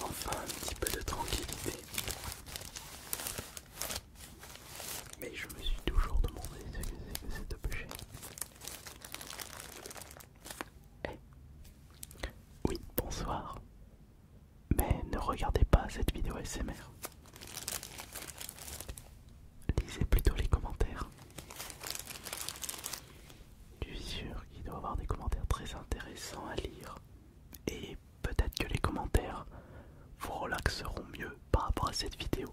Enfin un petit peu de tranquillité. Mais je me suis toujours demandé ce que c'est que cet objet. Eh Oui, bonsoir. Mais ne regardez pas cette vidéo SMR. Lisez plutôt les commentaires. Je suis sûr qu'il doit y avoir des commentaires très intéressants à lire. Et peut-être que les commentaires vous relaxeront mieux par rapport à cette vidéo.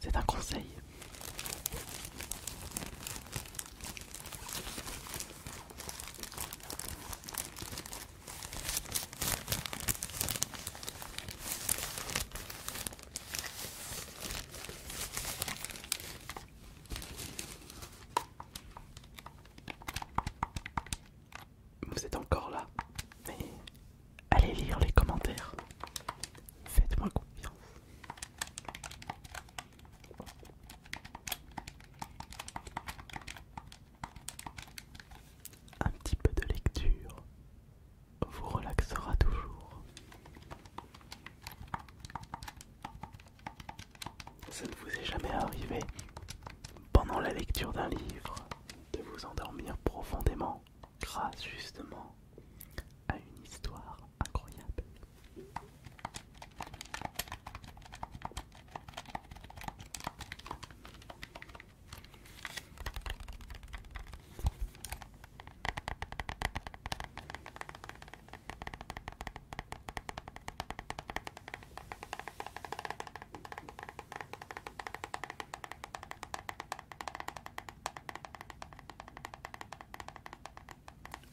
C'est un conseil. Vous êtes encore là, mais allez lire les commentaires. Faites-moi confiance. Un petit peu de lecture vous relaxera toujours. Ça ne vous est jamais arrivé, pendant la lecture d'un livre, de vous endormir profondément grâce justement à une histoire incroyable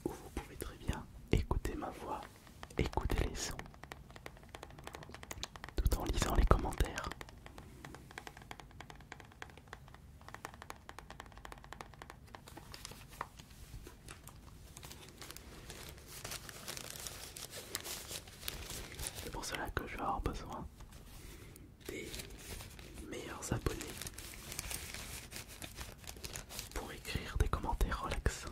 vous pouvez très bien écouter ma voix Écoutez les sons tout en lisant les commentaires. C'est pour cela que je vais avoir besoin des meilleurs abonnés pour écrire des commentaires relaxants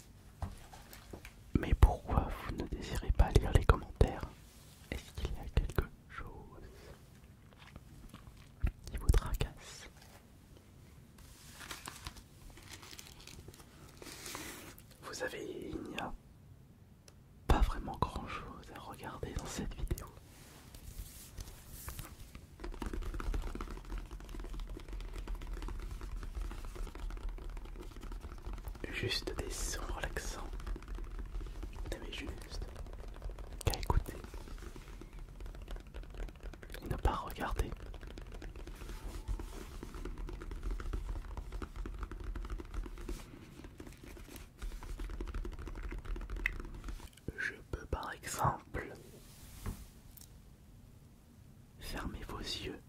Mais pourquoi vous ne désirez pas lire les commentaires Est-ce qu'il y a quelque chose qui vous tracasse Vous avez, il n'y a pas vraiment grand chose à regarder dans cette vidéo. Juste des sons relaxants. T'avais juste qu'à écouter ne pas regarder. Je peux par exemple Fermez vos yeux,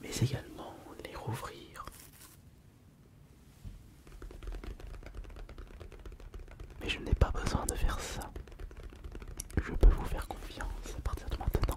mais également les rouvrir. Mais je n'ai pas besoin de faire ça. Je peux vous faire confiance à partir de maintenant.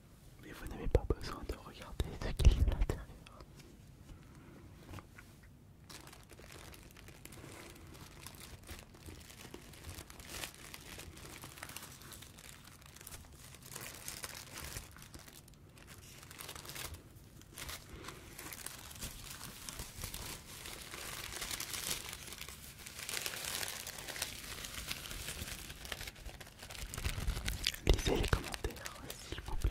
mais vous n'avez pas besoin de regarder ce qu'il y à l'intérieur. Lisez les commentaires, s'il vous plaît.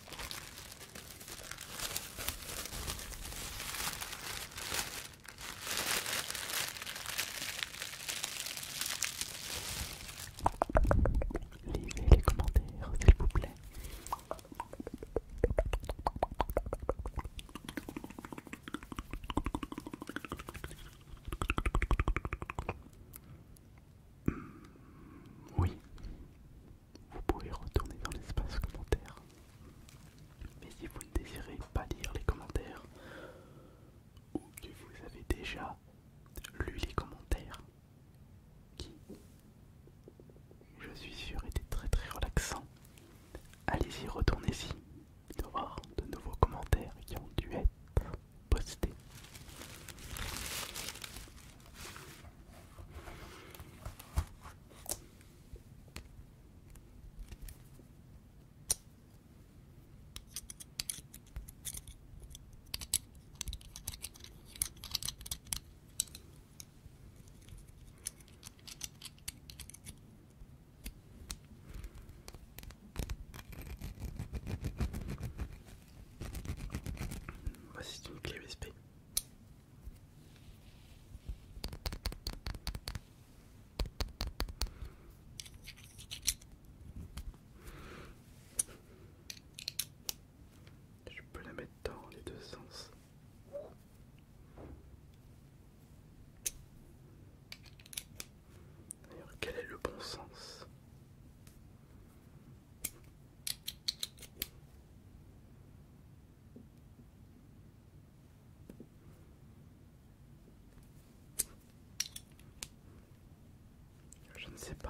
Lisez les commentaires, s'il vous plaît. Hmm, oui, vous pouvez retourner dans l'espace commentaire. Mais si vous ne désirez pas lire les commentaires, ou que vous avez déjà lu les commentaires, qui, je suis sûr, étaient très très relaxants, allez-y, retournez-y. de voir de nouveaux commentaires qui ont dû être postés. Voici une clé USB je peux la mettre dans les deux sens. D'ailleurs, quel est le bon sens je ne sais pas.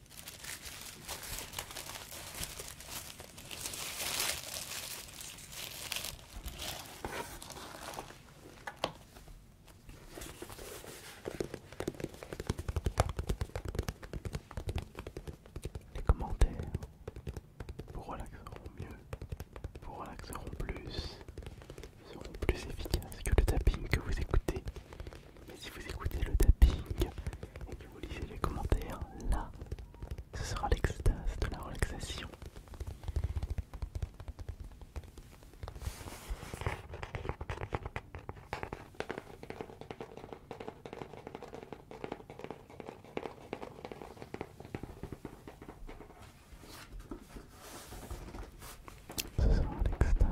Les commentaires vous relaxeront mieux, vous relaxeront plus, seront plus efficaces que le tapping que vous écoutez mais si vous écoutez le tapping et que vous lisez les commentaires, là, ce sera l'extase de la relaxation. Ce sera l'extase,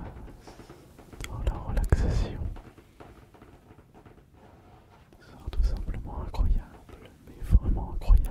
la relaxation. Ce sera tout simplement incroyable, mais vraiment incroyable.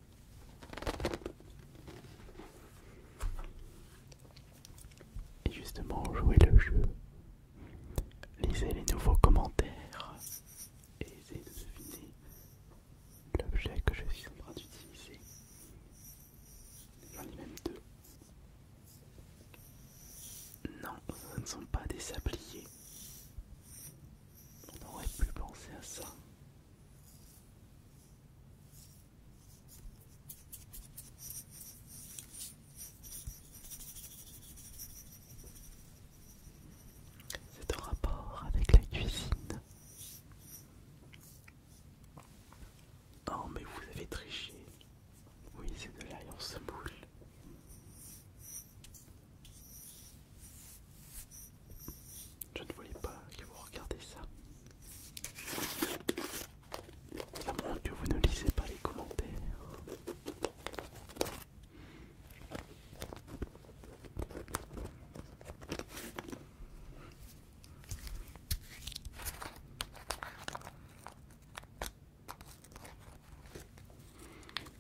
Et justement, jouer le jeu, lisez les nouveaux commentaires et essayez de deviner l'objet que je suis en train d'utiliser. J'en ai même deux. Non, ce ne sont pas des sabliers. On aurait pu penser à ça. C'est en rapport avec la cuisine. Oh mais vous avez triché. Oui, c'est de l'ail en semoule. Je ne voulais pas que vous regardiez ça. À que vous ne lisez pas les commentaires.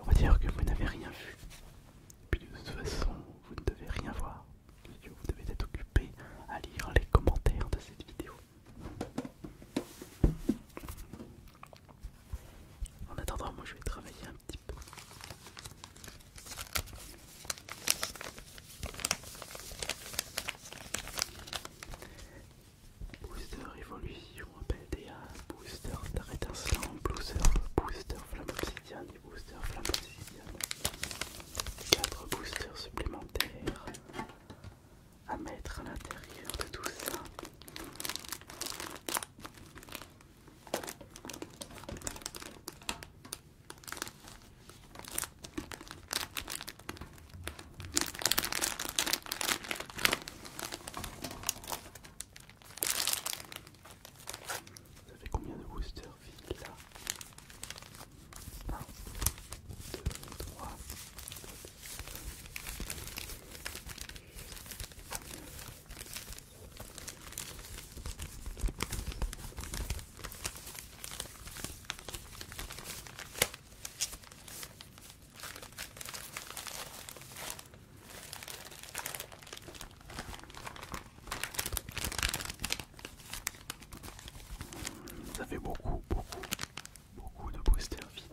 On va dire que vous n'avez rien vu. puis de toute façon, vous ne devez rien voir. Vous devez être occupé à lire les commentaires de cette vidéo. En attendant, moi je vais travailler un petit peu. Booster évolution, appel booster star étincelant, booster, booster flamme obsidian booster flamme obsidienne. 4 boosters supplémentaires à mettre à l'intérieur de tout ça. Vous avez combien de booster là ça fait beaucoup, beaucoup, beaucoup de booster vide.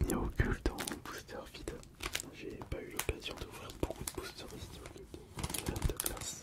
Il y a du culte occulte en booster vide. J'ai pas eu l'occasion d'ouvrir beaucoup de booster vidéo de classe.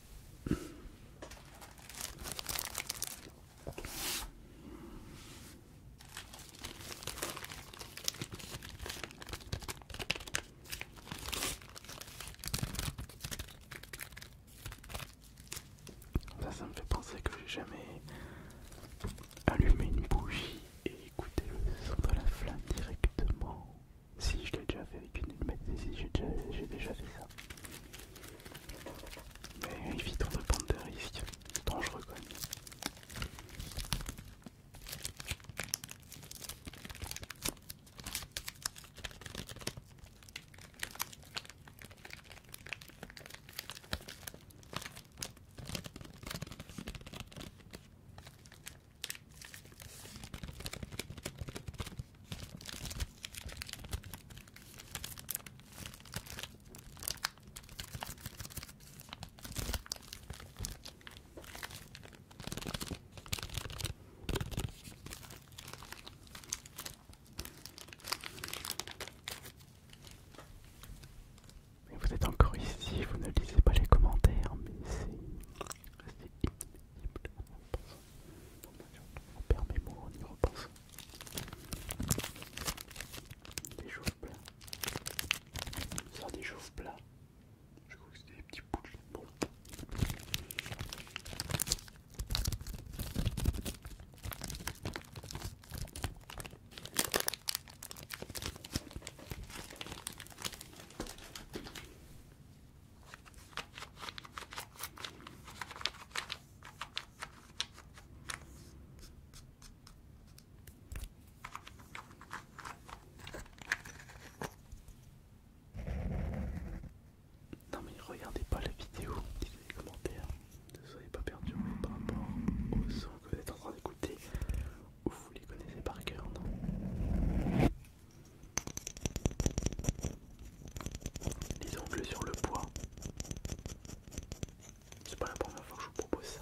Ça, ça me fait penser que j'ai jamais allumé une bougie et écouté le son de la flamme directement. Si je l'ai déjà fait avec une si j'ai déjà fait ça. Mais évitons de prendre des risques dangereux quand même vous êtes encore ici, vous ne lisez pas les commentaires, mais c'est restez. On perd mes mots en y repensant. Des chauves plats. ça des chauves plats. Je crois que c'était des petits bouts de bon. Non mais regardez pas la vidéo, dites-le les commentaires, ne soyez pas perdus par rapport aux sons que vous êtes en train d'écouter ou vous les connaissez par cœur, non les ongles sur le poids, C'est pas la première fois que je vous propose ça.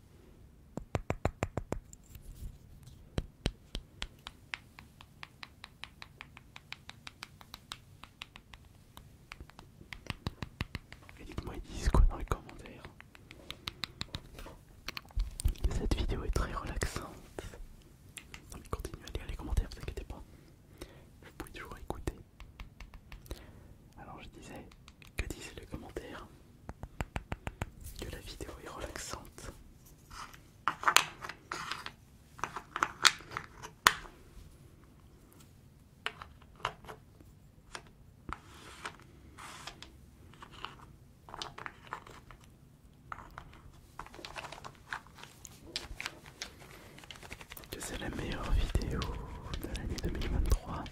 Et dites-moi, ils disent quoi dans les commentaires Cette vidéo est très relaxante. Non mais continuez à lire les commentaires, vous inquiétez pas. Vous pouvez toujours écouter. Alors je disais, que disent les commentaires que la vidéo est relaxante. Que c'est la meilleure vidéo de l'année 2023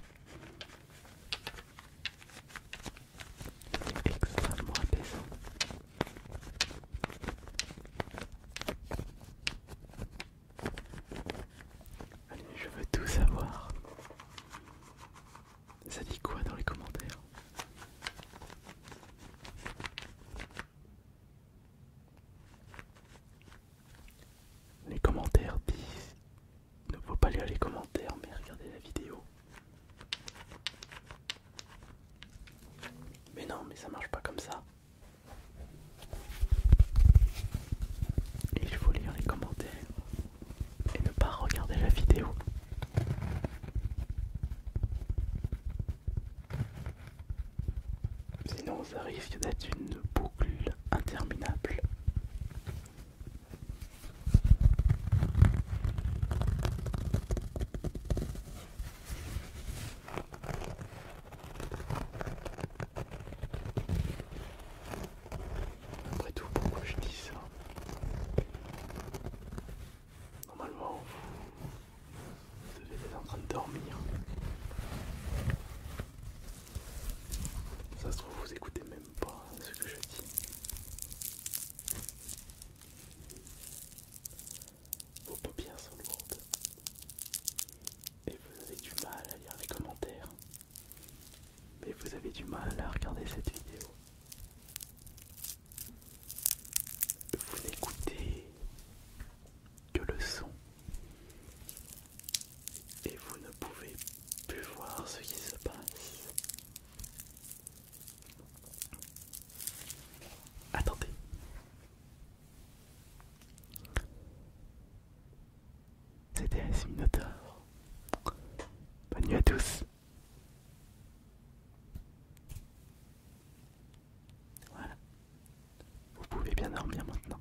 extrêmement Allez, je veux tout savoir. Ça dit quoi dans les commentaires Les commentaires disent ne faut pas lire les commentaires, mais regarder la vidéo. Mais non, mais ça marche pas comme ça. Il faut lire les commentaires et ne pas regarder la vidéo. Sinon, ça risque d'être une boucle interminable. Après tout, pourquoi je dis ça Normalement, vous devez être en train de dormir. Ça se trouve, vous écoutez même pas ce que je dis. Vos paupières sont lourdes et vous avez du mal à lire les commentaires. Mais vous avez du mal à regarder cette vidéo. Vous n'écoutez que le son et vous ne pouvez plus voir ce qui se passe. Attendez. C'était un d'or. Bonne nuit à tous. Voilà. Vous pouvez bien dormir maintenant.